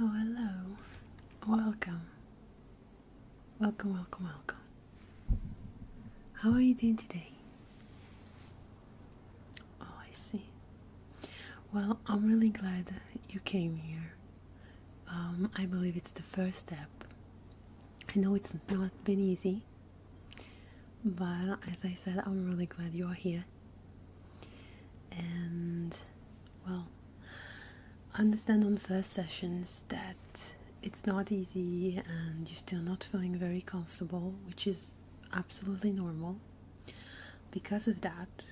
Oh, hello. Welcome. Welcome, welcome, welcome. How are you doing today? Oh, I see. Well, I'm really glad you came here. Um, I believe it's the first step. I know it's not been easy, but as I said, I'm really glad you're here. And well, understand on first sessions that it's not easy and you're still not feeling very comfortable, which is absolutely normal. Because of that,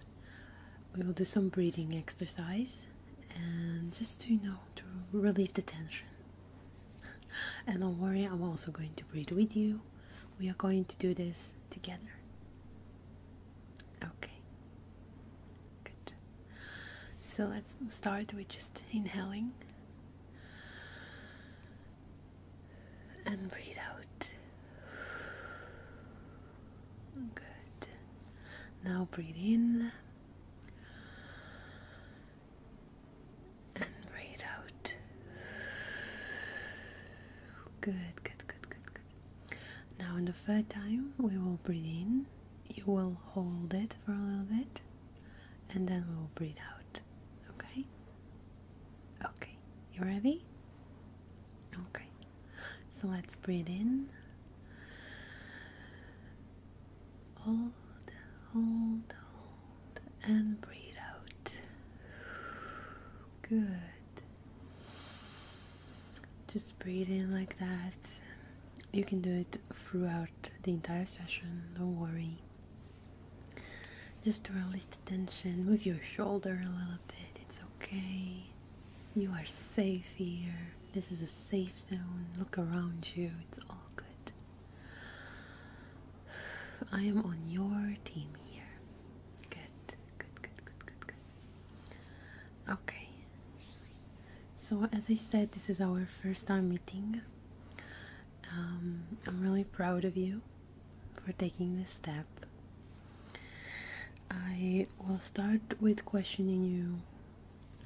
we will do some breathing exercise and just to you know to relieve the tension. And don't worry, I'm also going to breathe with you we are going to do this together. Okay. Good. So let's start with just inhaling and breathe out. Good. Now breathe in and breathe out. Good, good, good, good, good. Now, in the third time, we will breathe in. You will hold it for a little bit, and then we will breathe out. Okay? Okay. You ready? Okay. So let's breathe in. Hold, hold, hold and breathe out. Good. Just breathe in like that. You can do it throughout the entire session, don't worry. Just to release the tension, move your shoulder a little bit, it's okay. You are safe here. This is a safe zone. Look around you, it's all good. I am on your team here. Good, good, good, good, good, good. Okay. So, as I said, this is our first time meeting. Um, I'm really proud of you for taking this step. I will start with questioning you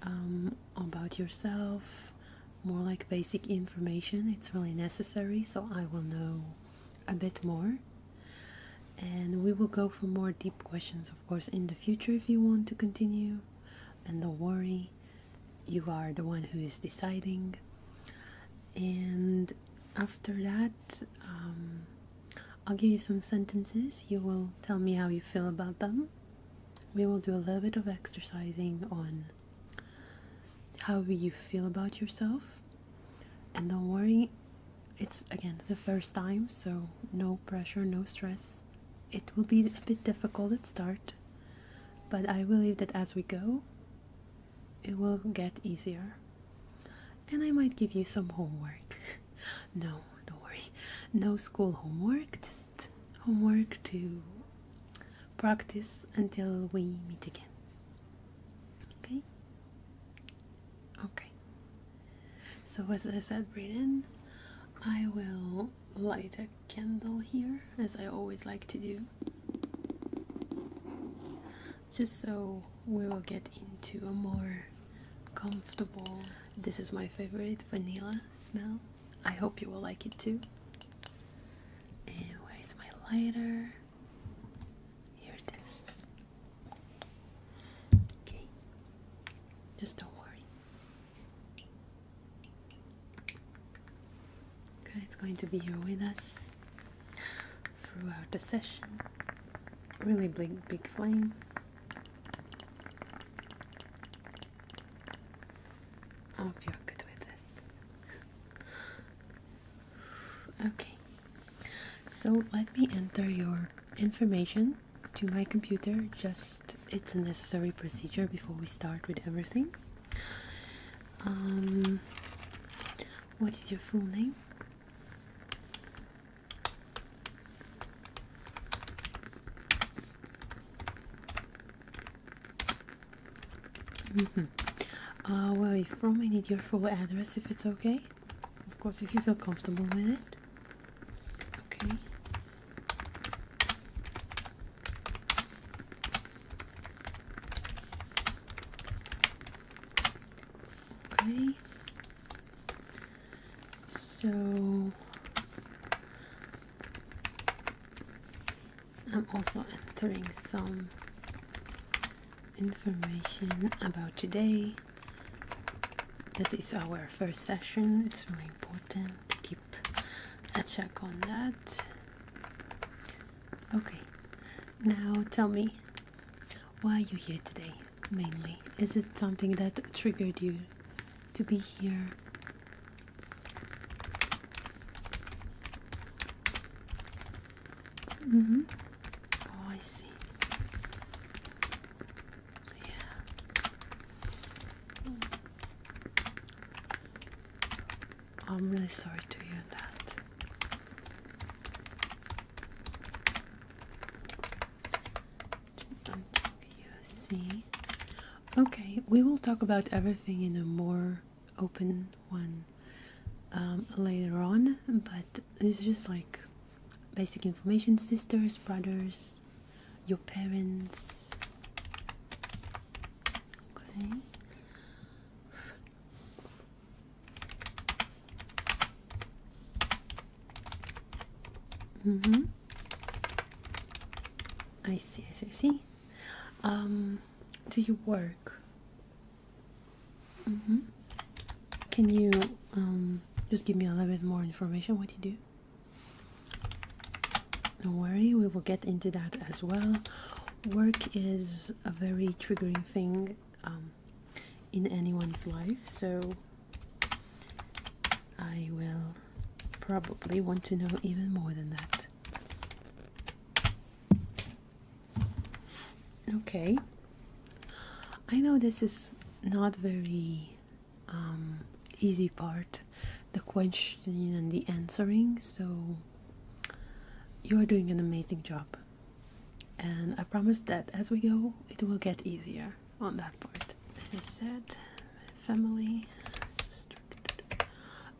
um, about yourself, more like basic information. It's really necessary, so I will know a bit more and we will go for more deep questions of course in the future if you want to continue and don't worry you are the one who is deciding and after that um, i'll give you some sentences you will tell me how you feel about them we will do a little bit of exercising on how do you feel about yourself. And don't worry, it's again the first time, so no pressure, no stress. It will be a bit difficult at start, but I believe that as we go, it will get easier. And I might give you some homework. no, don't worry. No school homework, just homework to practice until we meet again. Okay? Okay. So, as I said, breathe I will light a candle here, as I always like to do, just so we will get into a more comfortable. This is my favorite vanilla smell. I hope you will like it too. And where's my lighter? Here it is. Okay. Just don't worry. It's going to be here with us throughout the session. Really big, big flame. I you're good with this. Okay, so let me enter your information to my computer. Just it's a necessary procedure before we start with everything. Um, what is your full name? Mm -hmm. uh, where you from? I need your full address if it's okay. Of course, if you feel comfortable with it. Okay. Okay. So I'm also entering some information about today. That is our first session. It's really important to keep a check on that. Okay, now tell me why are you here today mainly? Is it something that triggered you to be here? Mm hmm Oh, I see. Yeah. I'm really sorry to hear that. see. Okay, we will talk about everything in a more open one um, later on, but it's just like basic information sisters, brothers, your parents. Okay. Mm hmm I see, I see, I see. Um, do you work? Mm -hmm. Can you um, just give me a little bit more information what you do? Don't worry, we will get into that as well. Work is a very triggering thing um, in anyone's life, so I will probably want to know even more than that. Okay. I know this is not very um, easy part, the questioning and the answering. So you are doing an amazing job, and I promise that as we go, it will get easier on that part. As I said, family.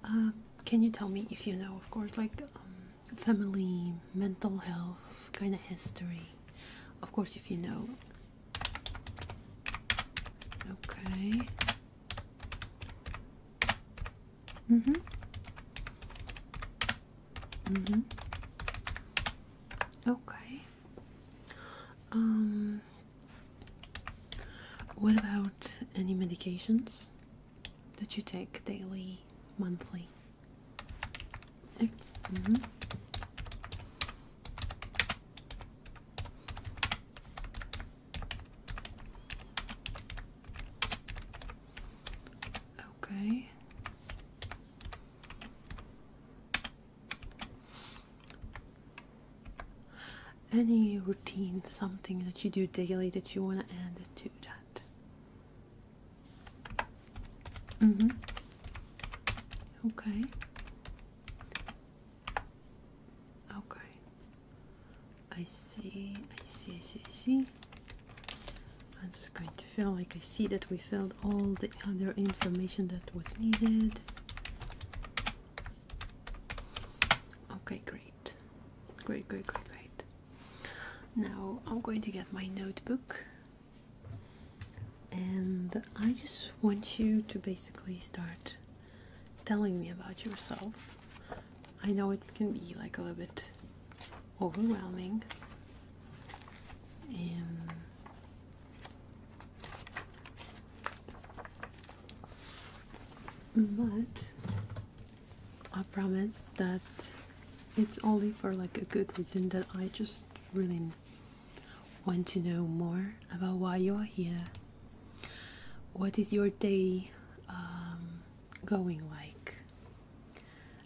Uh, can you tell me if you know, of course, like um, family, mental health kind of history. Of course, if you know. Okay. Mm hmm. Mm hmm. Okay. Um, what about any medications? that you take daily, monthly. Eh, mm-hmm. Okay. Any routine, something that you do daily that you want to add to that? Mm-hmm. Okay. Okay. I see, I see, I see, I see. I'm just going to fill. like I see that we filled all the other information that was needed. Okay, great. Great, great, great, great. Now I'm going to get my notebook and I just want you to basically start telling me about yourself. I know it can be like a little bit overwhelming. but I promise that it's only for like a good reason that I just really want to know more about why you're here. What is your day um, going like?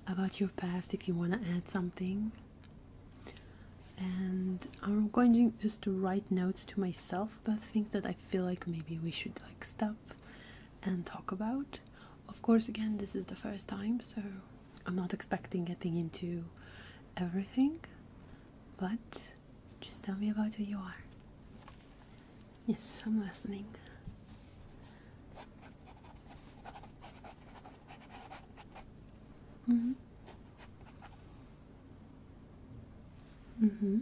About your past, if you want to add something. And I'm going just to write notes to myself about things that I feel like maybe we should like stop and talk about of course, again, this is the first time, so I'm not expecting getting into everything, but just tell me about who you are. Yes, I'm listening. Mm-hmm. Mm-hmm.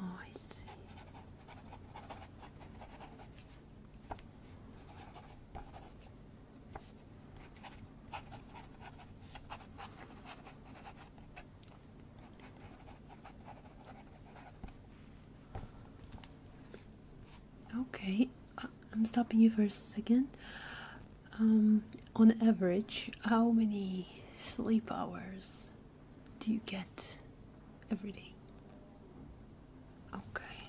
Oh, I see. Okay, uh, I'm stopping you for a second. Um, on average, how many sleep hours do you get every day? Okay.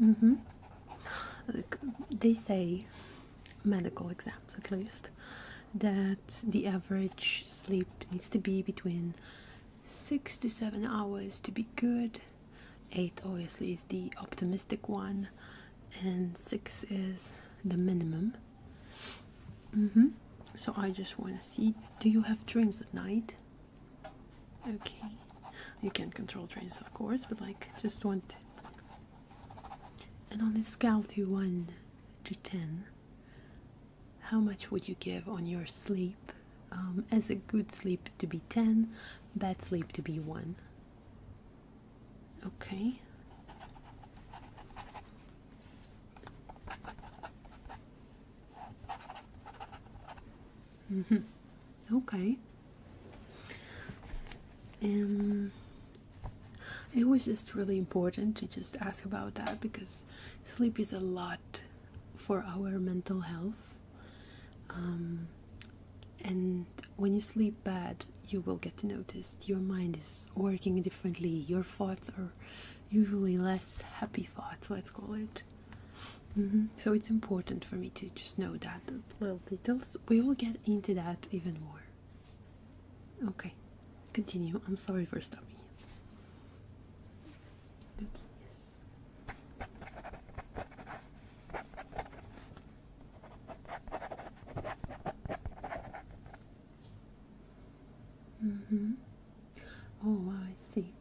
Mm hmm. Look, they say, medical exams at least, that the average sleep needs to be between six to seven hours to be good. Eight, obviously, is the optimistic one, and six is the minimum. Mm -hmm. So I just want to see do you have dreams at night? Okay. You can't control dreams, of course, but like just want to. And on a scale to 1 to 10, how much would you give on your sleep? Um, as a good sleep to be 10, bad sleep to be 1. Okay. Mm -hmm. Okay. Um, it was just really important to just ask about that because sleep is a lot for our mental health. Um, and when you sleep bad, you will get noticed. your mind is working differently, your thoughts are usually less happy thoughts, let's call it. Mm-hmm. So it's important for me to just know that little details. We will get into that even more. Okay, continue. I'm sorry for stopping you. yes. Mm-hmm. Oh, I see.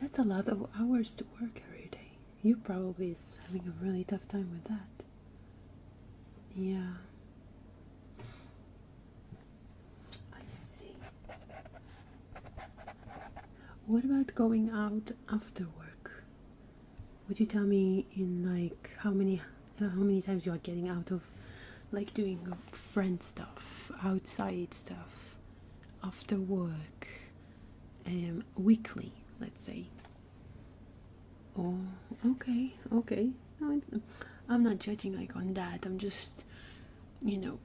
That's a lot of hours to work every day. You probably is having a really tough time with that. Yeah. I see. What about going out after work? Would you tell me in like how many how many times you are getting out of like doing friend stuff, outside stuff, after work, um, weekly, let's say. Oh, okay, okay. I'm not judging like on that. I'm just, you know,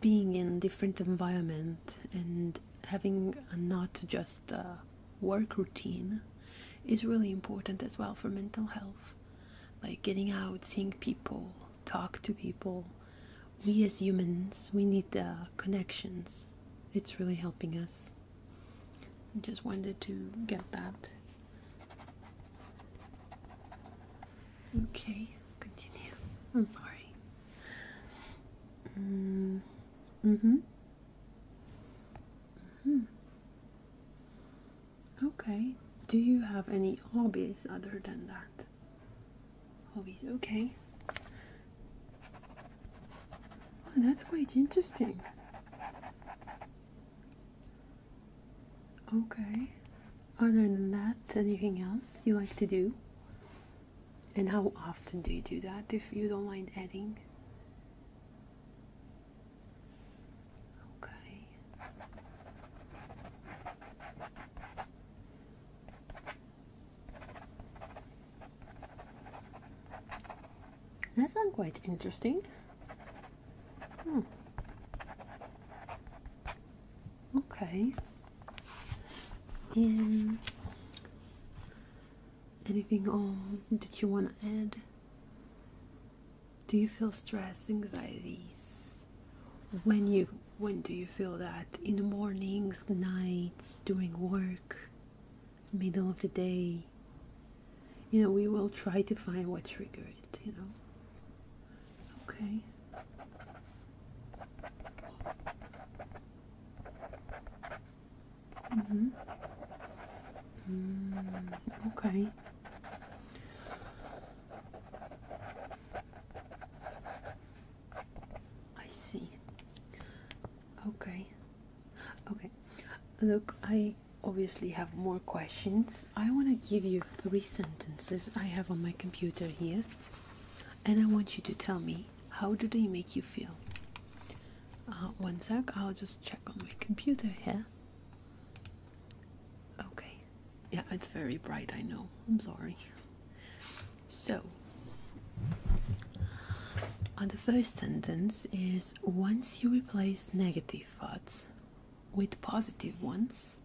being in different environment and having not just work routine is really important as well for mental health like getting out, seeing people, talk to people. We as humans, we need the connections. It's really helping us. I just wanted to get that. Okay, continue. I'm sorry. Mm hmm. Mm hmm. Okay. Do you have any hobbies other than that? Hobbies, okay. that's quite interesting. Okay. Other than that, anything else you like to do? And how often do you do that if you don't mind adding? Okay. That's not quite interesting. Hmm. Okay. And anything on that you want to add? do you feel stress anxieties when you when do you feel that in the mornings nights during work middle of the day you know we will try to find what triggered it you know okay mm-hmm. mm -hmm. okay I see. Okay. Okay. Look, I obviously have more questions. I want to give you three sentences I have on my computer here, and I want you to tell me how do they make you feel. Uh, one sec, I'll just check on my computer here. Okay. Yeah, it's very bright, I know. I'm sorry. So, the first sentence is once you replace negative thoughts with positive ones,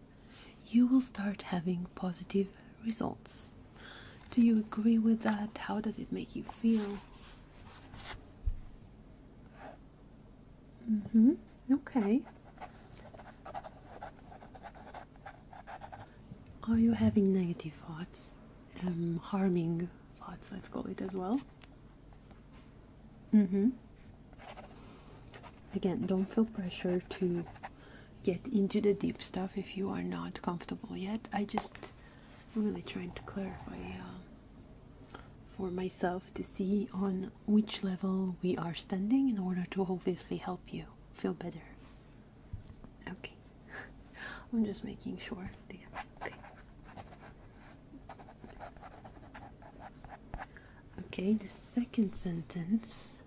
you will start having positive results. Do you agree with that? How does it make you feel? Mm-hmm. Okay. Are you having negative thoughts? Um, harming thoughts, let's call it as well. Mm-hmm. Again, don't feel pressure to get into the deep stuff if you are not comfortable yet. I just really trying to clarify uh, for myself to see on which level we are standing in order to obviously help you feel better. Okay. I'm just making sure. Okay. Okay, the second sentence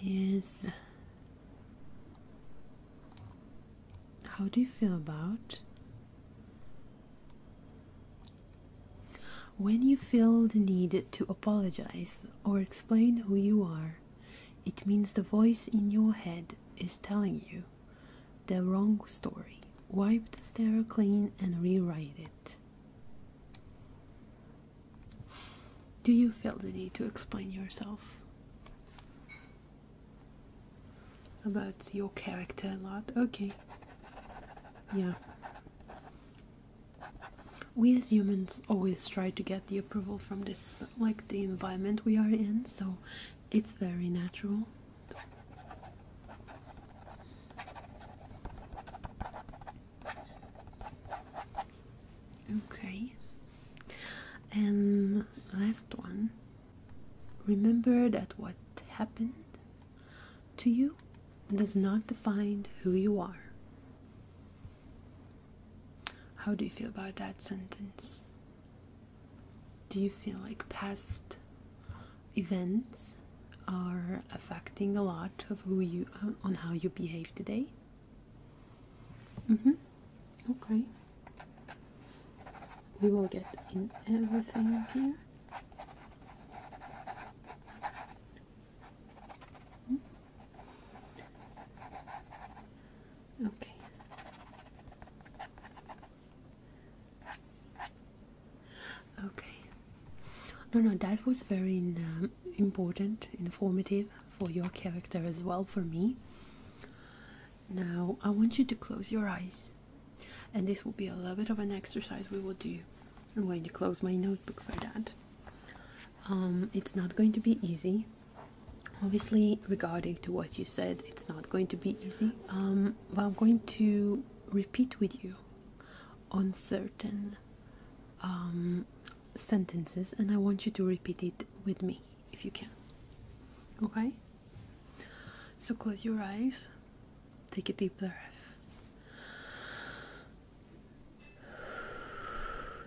is How do you feel about when you feel the need to apologize or explain who you are, it means the voice in your head is telling you the wrong story. Wipe the stereo clean and rewrite it. Do you feel the need to explain yourself? about your character a lot. Okay. Yeah. We as humans always try to get the approval from this, like the environment we are in, so it's very natural. Okay. And last one. Remember that what happened to you does not define who you are. How do you feel about that sentence? Do you feel like past events are affecting a lot of who you on how you behave today? Mm-hmm. Okay. We will get in everything here. Okay. Okay. No, no, that was very um, important, informative for your character as well, for me. Now, I want you to close your eyes and this will be a little bit of an exercise we will do i'm going to close my notebook for that um, it's not going to be easy obviously regarding to what you said it's not going to be easy um, but i'm going to repeat with you on certain um, sentences and i want you to repeat it with me if you can okay so close your eyes, take a deep breath,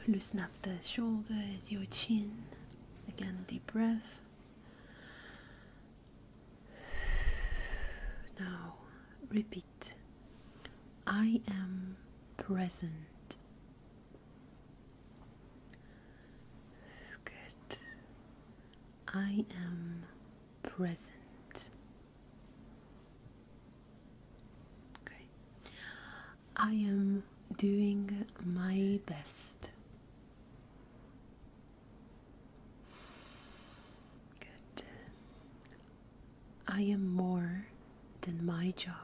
loosen up the shoulders, your chin. Again, deep breath. Now, repeat I am present. Good. I am present. Okay. I am doing my best. Good. I am more than my job.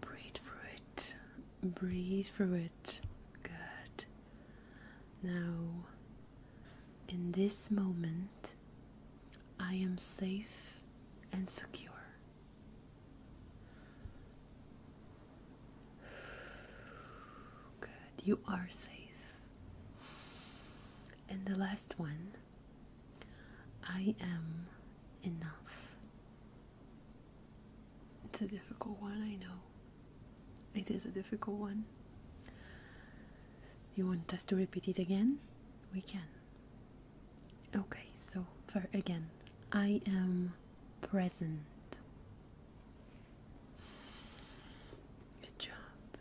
Breathe through it. Breathe through it. Good. Now, in this moment, I am safe and secure. Good. You are safe. And the last one I am enough. It's a difficult one, I know. It is a difficult one. You want us to repeat it again? We can. Okay, so for again, I am present. Good job.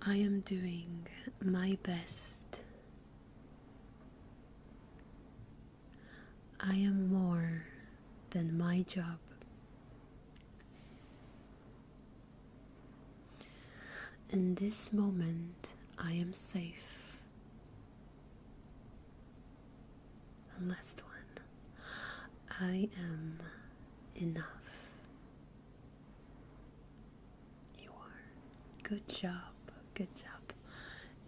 I am doing my best. I am more than my job. In this moment, I am safe. last one I am enough. You are. Good job. Good job.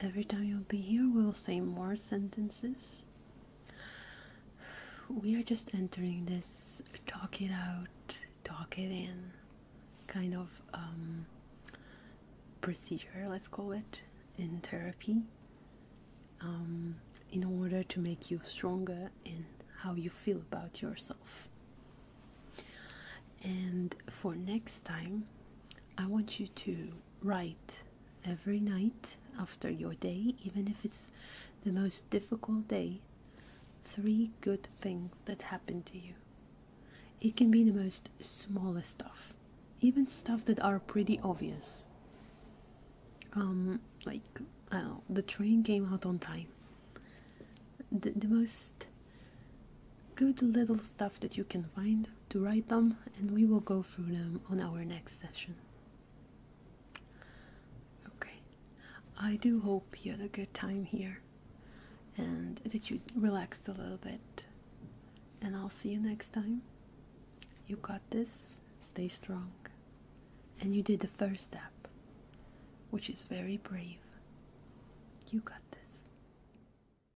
Every time you'll be here, we will say more sentences. We are just entering this talk it out, talk it in kind of um, procedure, let's call it, in therapy, um, in order to make you stronger in how you feel about yourself. And for next time, I want you to write every night after your day, even if it's the most difficult day, three good things that happen to you. It can be the most smallest stuff, even stuff that are pretty obvious. Um, like, the train came out on time. The, the most good little stuff that you can find to write them, and we will go through them on our next session. Okay, I do hope you had a good time here and that you relaxed a little bit. And I'll see you next time. You got this, stay strong. And you did the first step, which is very brave. You got this.